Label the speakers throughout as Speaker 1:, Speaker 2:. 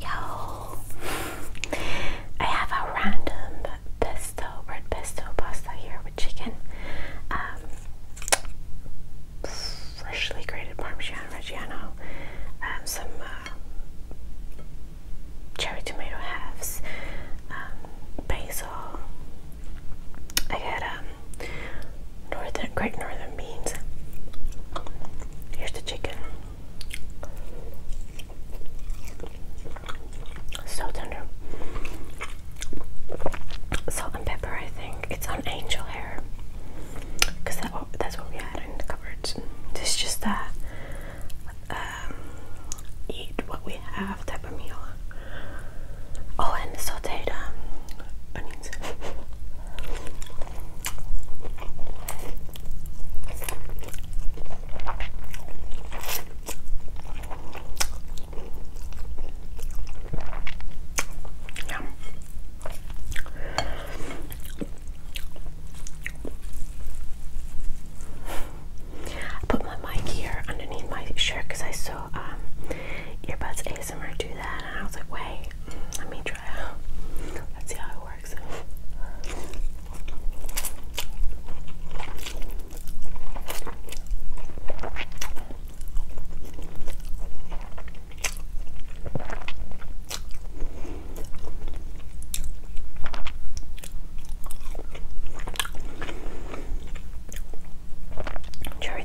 Speaker 1: Yo, I have a random pesto, red pesto pasta here with chicken, um, freshly grated Parmesan Reggiano, um, some uh, cherry tomato halves, um, basil. I got um, Northern Great Northern beans. Here's the chicken. So tender. Salt and pepper, I think. It's on angel hair. Because that's what we had in the cupboards. It's just that um, eat what we have type of meal. Oh, and the um, Yeah. I put my mic here underneath my shirt because I saw um, earbuds I was like, wait, let me try out. Let's see how it works. Cherry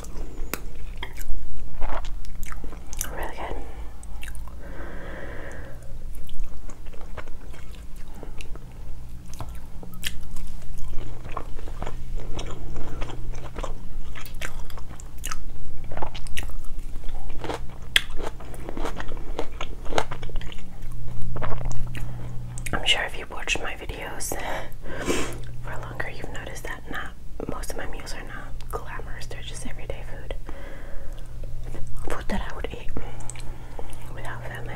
Speaker 1: Really good. I'm sure if you've watched my videos for longer, you've noticed that not most of my meals are not glamorous. They're just everyday food, food that I would eat without family.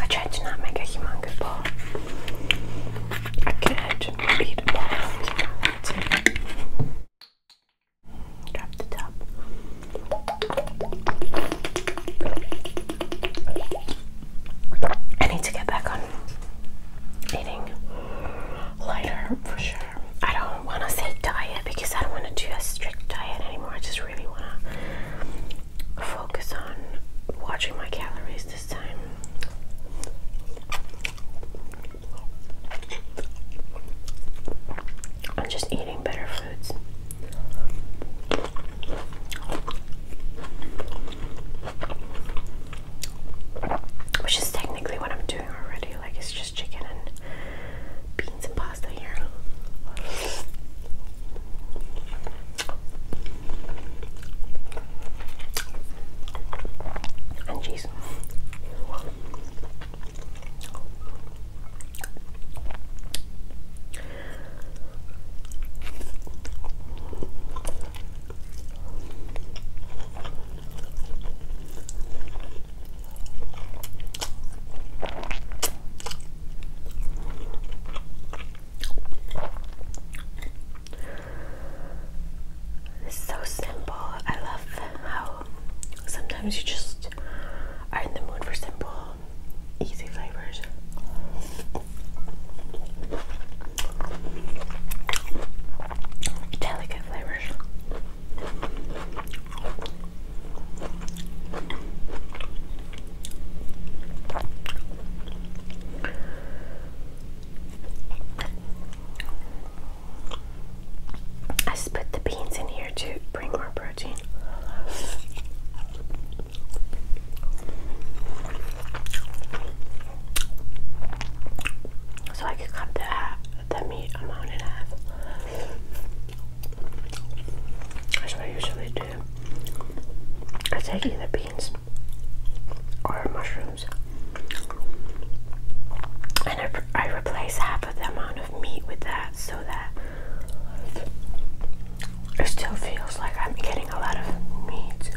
Speaker 1: I tried to not make a humongous ball. I could beat a ball if you Drop the top. I need to get back on eating lighter for sure. I don't want to say diet because I don't want to do a strict diet anymore. just really want to focus on watching my calories this time. I'm just eating better foods. Which is technically what I'm doing already. Like, it's chicken and beans and pasta here. And cheese. It's so simple. I love how sometimes you just are in the mood for simple, easy flavors. Delicate flavors. I put the beans in here to bring more protein. So I could cut the, the meat amount in that's what I usually do. I take either beans or mushrooms, and I, replace half of the amount of meat with that so that it still feels like I'm getting a lot of meat.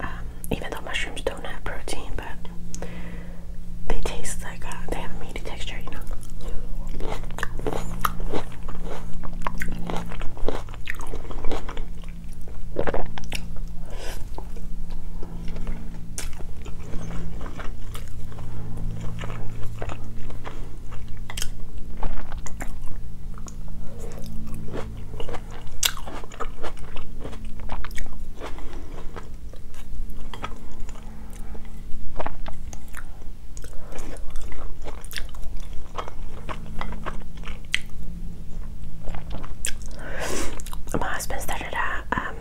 Speaker 1: Um, even though mushrooms don't have protein, but they taste like uh, they have a meaty texture, you know. My husband started a um,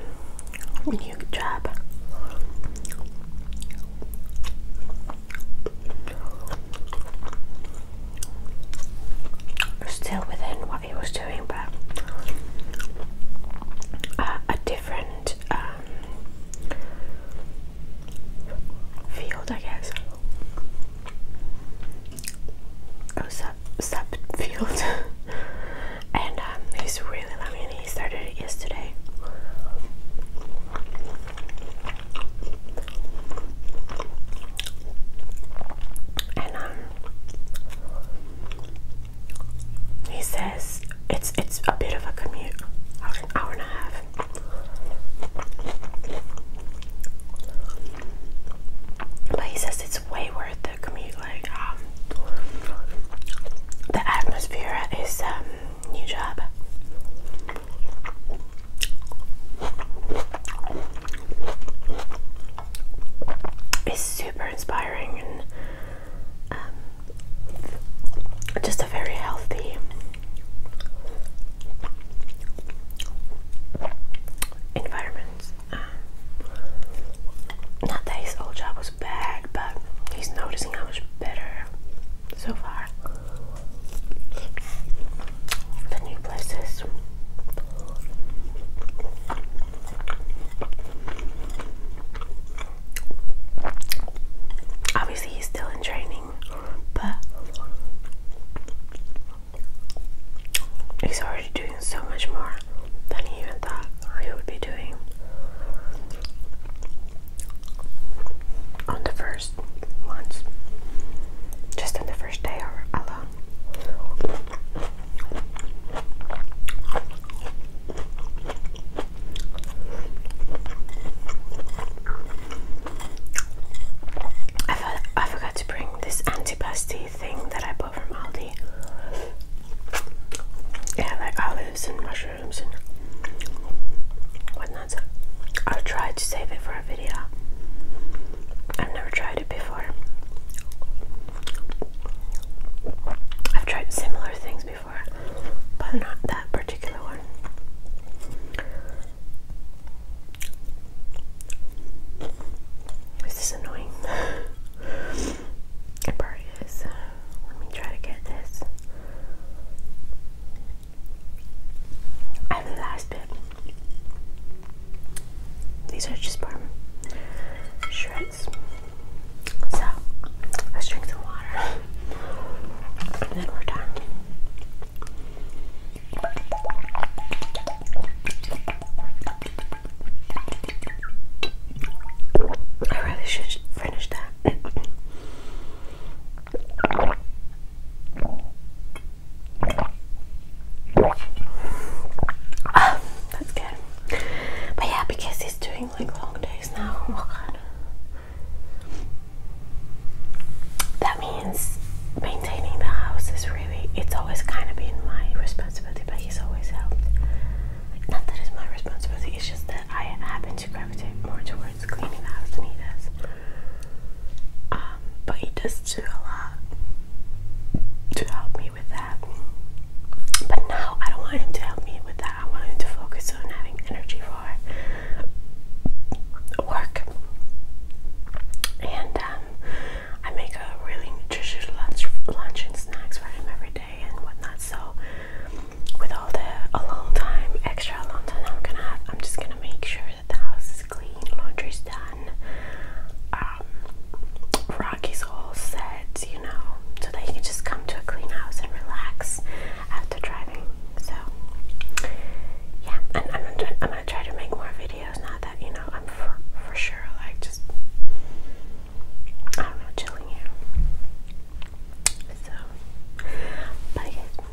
Speaker 1: new job. still within he was doing, but uh, a different um, field, I guess. Oh, sub sub field, and um, he's really loving it. He started it yesterday. And um, he says it's it's a bit of a commute, an hour and a half. But he says it's way worth the commute. Like um, the atmosphere at his um, new job. It's super inspiring and um, just a very healthy, environment. Um, old job was bad, but he's noticing how much better so far the new places. Obviously, he's still in training, but he's already doing so much more than he even thought he would be doing on the first once, just on the first day alone. I, forgot to bring this antipasti thing that I bought from Aldi. Yeah, like olives and mushrooms and whatnot. I'll try to save it for a video. I've never tried it before. I've tried similar things before, but not that particular one. Is annoying? it probably is. Let me try to get this. I have the last bit. These are just parm shreds. So let's drink some water. And then we're done. I really should finish that. Oh, that's good. But yeah, because he's doing like long days now. Oh God. That means maintaining the house is really, it's always kind of been my responsibility, but he's always helped. Not that it's my responsibility, it's just that I happen to gravitate more towards cleaning the house than he does. Um, but he does do a lot to help me with that. But now I don't want him to help me with that. I want him to focus on having energy for work. And um, I make a really nutritious lunch, lunch and snacks for him every day and whatnot. So with all the alone time, extra alone time, I'm gonna, I'm just gonna make sure that the house is clean, laundry's done, um, all set, you know, so that you can just come to a clean house and relax after driving. So, yeah, and I'm gonna, try to make more videos now that you know I'm for, for sure like just I don't chilling here. So, bye